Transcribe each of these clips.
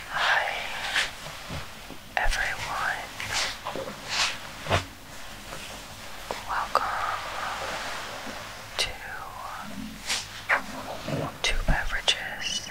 Hi, everyone. Welcome to Two Beverages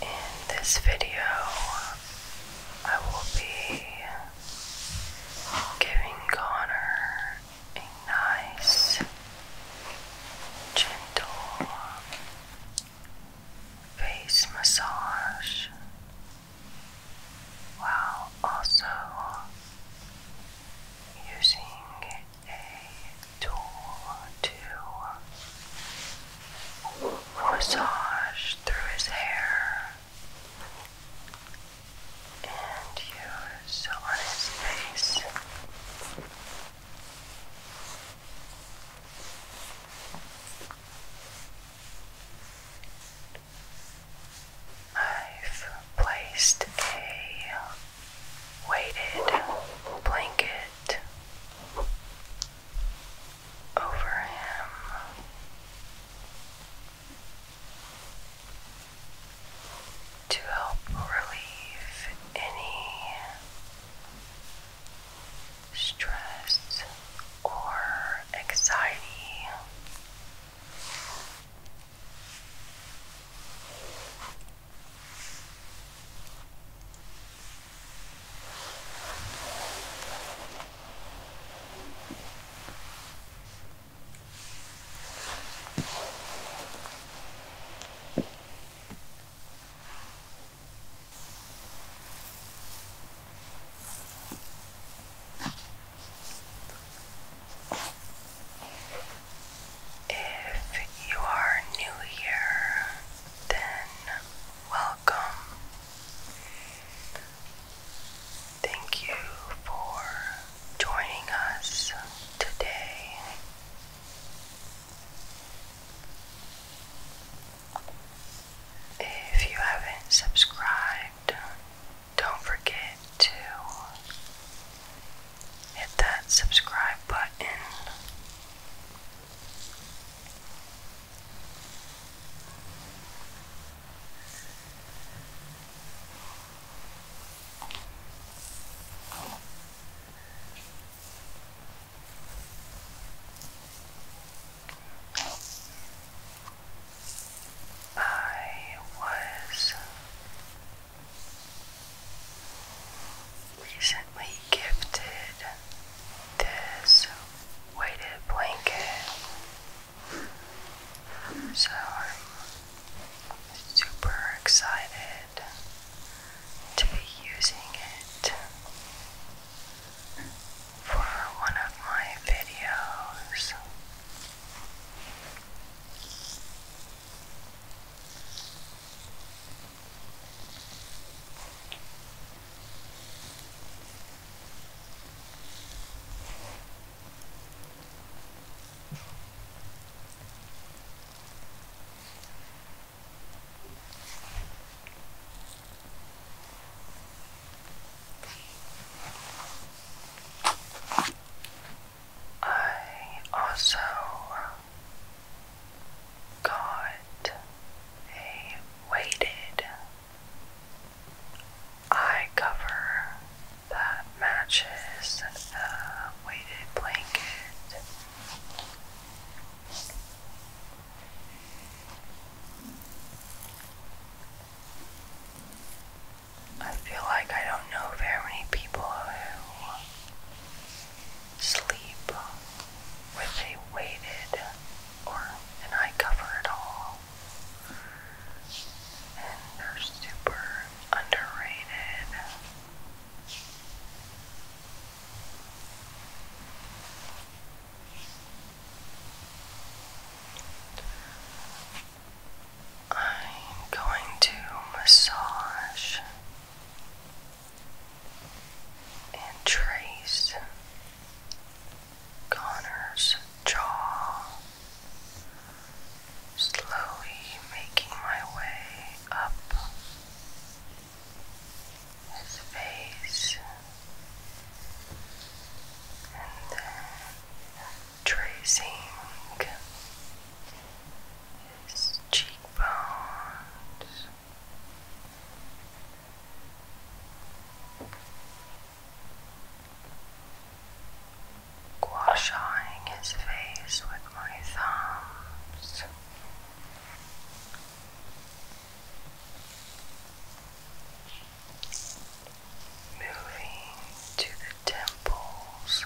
in this video, I will be giving Connor a nice, gentle face massage while also using a tool to massage through his hair and you saw on his face. I've placed a weighted blanket over him to help relieve any stress or anxiety. If you are new here, then welcome. Thank you for joining us today. If you haven't subscribed, don't forget to hit that subscribe button. I was recently gifted this weighted blanket. So super excited to be using it for one of my videos. I also got a weighted eye cover that matches the weighted blanket. I feel like I don't know very many people who sleep with a weighted or an eye cover at all and they're super underrated. I'm going to massage and trace Connor's jaw slowly making my way up his face and then tracing his cheekbones. Washing his face with my thumbs. Moving to the temples.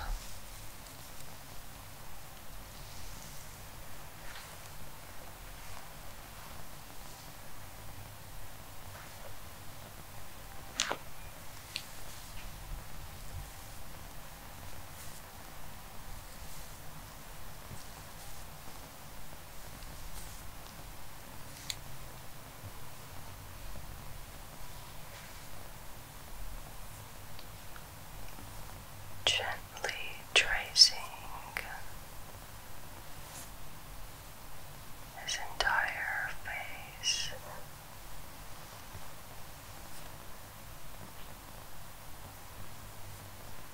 Gently tracing his entire face.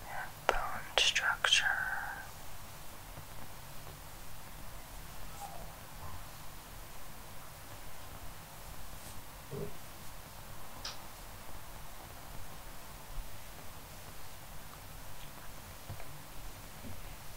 That bone structure.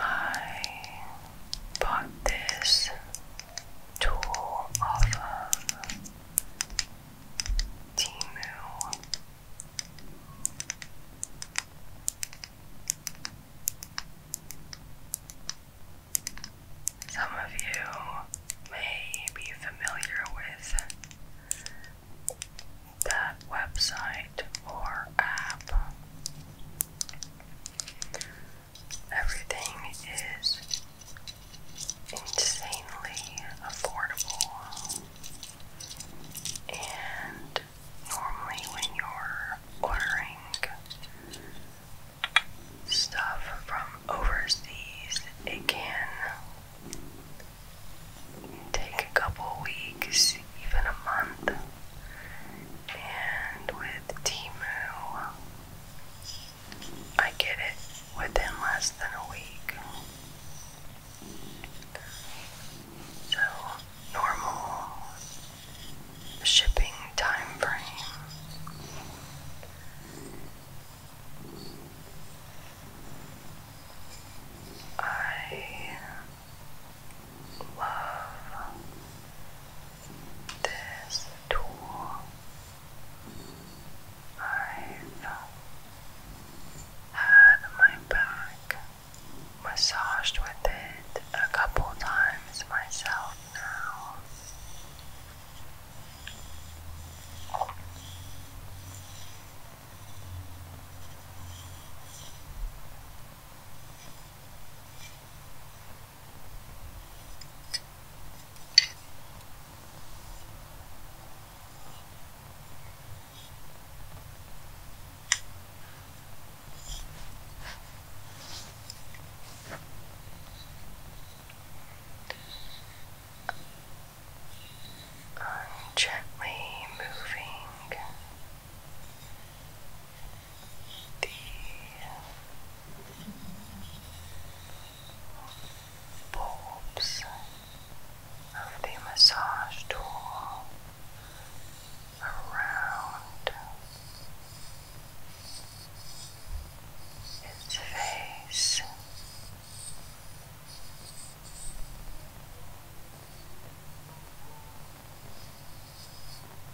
I bought this tool of Timu. Some of you may be familiar with that website or app. Everything is insanely affordable. And normally, when you're ordering stuff from overseas, it can take a couple weeks, even a month. And with Timu, I get it within less than a week. So, normal shipping time I love this tool. I've had my back massaged with it a couple times myself now. I'm gently moving the bulbs of the massage tool around its face.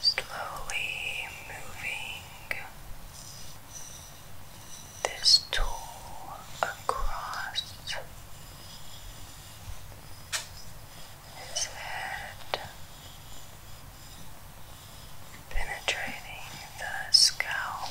Slowly moving this tool across his head, penetrating the scalp.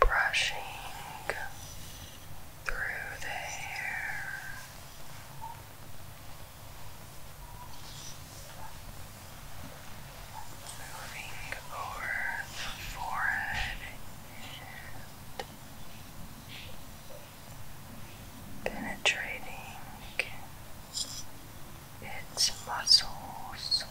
Brushing through the hair. Moving over the forehead and penetrating its muscles.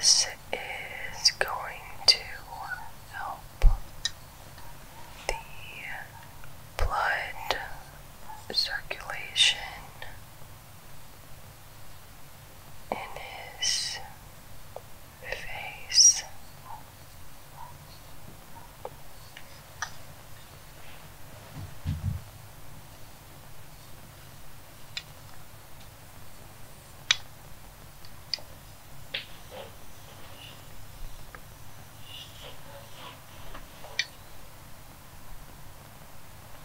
This is going to help the blood circulation in his face.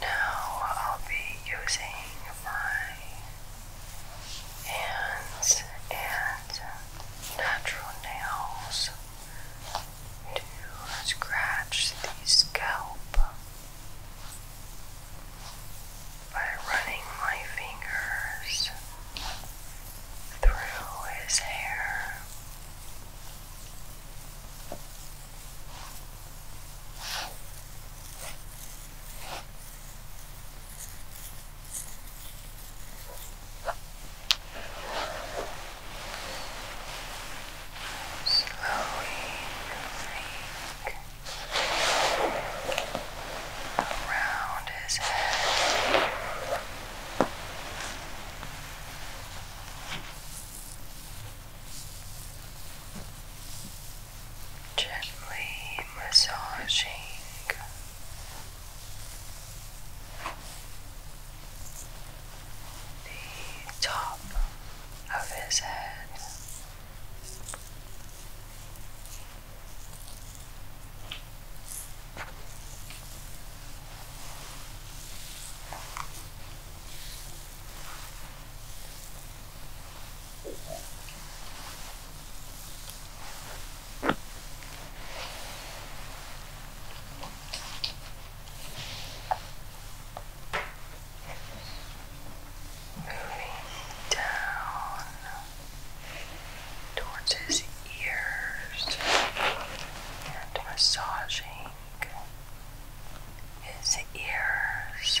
Now I'll be using my hands and natural nails to scratch the scalp by running my fingers through his hair slowly moving around his head. Gently massaging the top of his head. Moving down towards his ears and massaging his ears.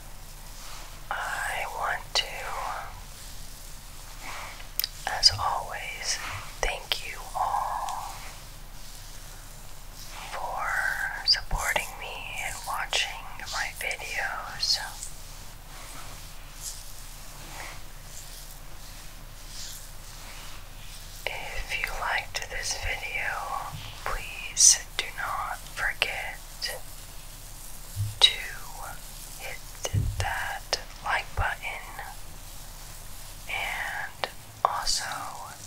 I want to, as always, thank you all for supporting me and watching my videos. If you liked this video, please do not forget to hit that like button and also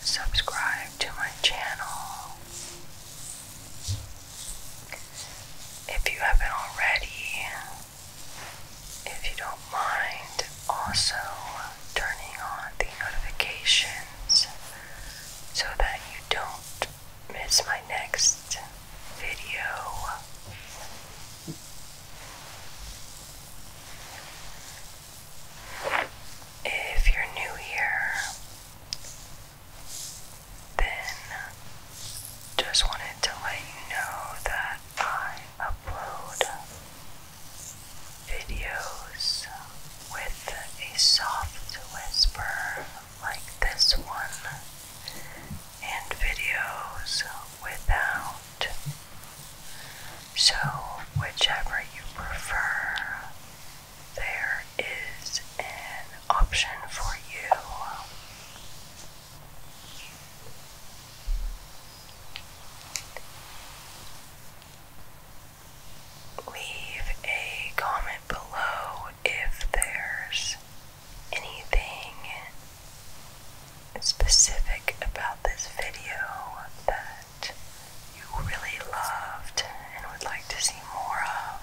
subscribe to my channel. If you haven't already, if you don't mind, also turning on the notifications so that you don't will miss my next video. If you're new here, then just wanted to let you know that I upload videos with a soft whisper like this one and videos without. So, whichever you prefer, there is an option for you. Leave a comment below if there's anything specific about this video that you really loved and would like to see more of.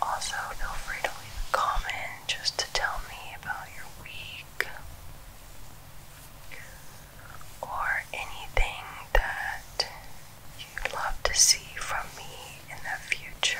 Also, feel free to leave a comment just to tell me about your week or anything that you'd love to see from me in the future.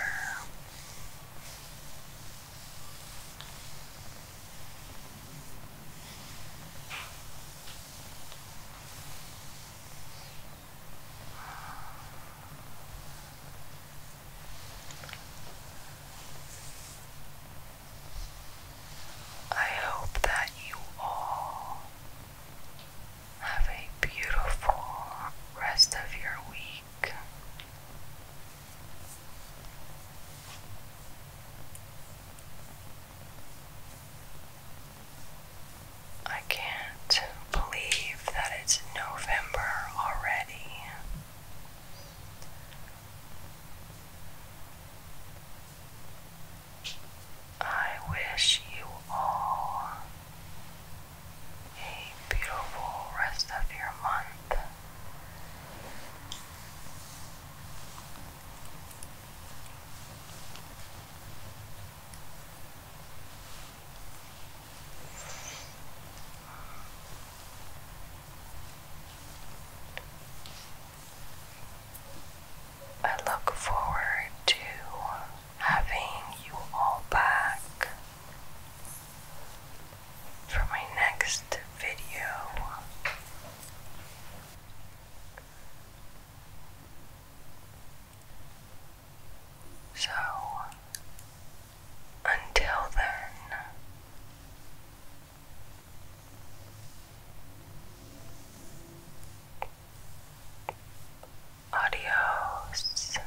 I hope that you all have a beautiful rest of your week. I can't believe that it's November already. I wish you all a beautiful rest of your month. I look forward to having you all back for my next video. So, until then, Adios.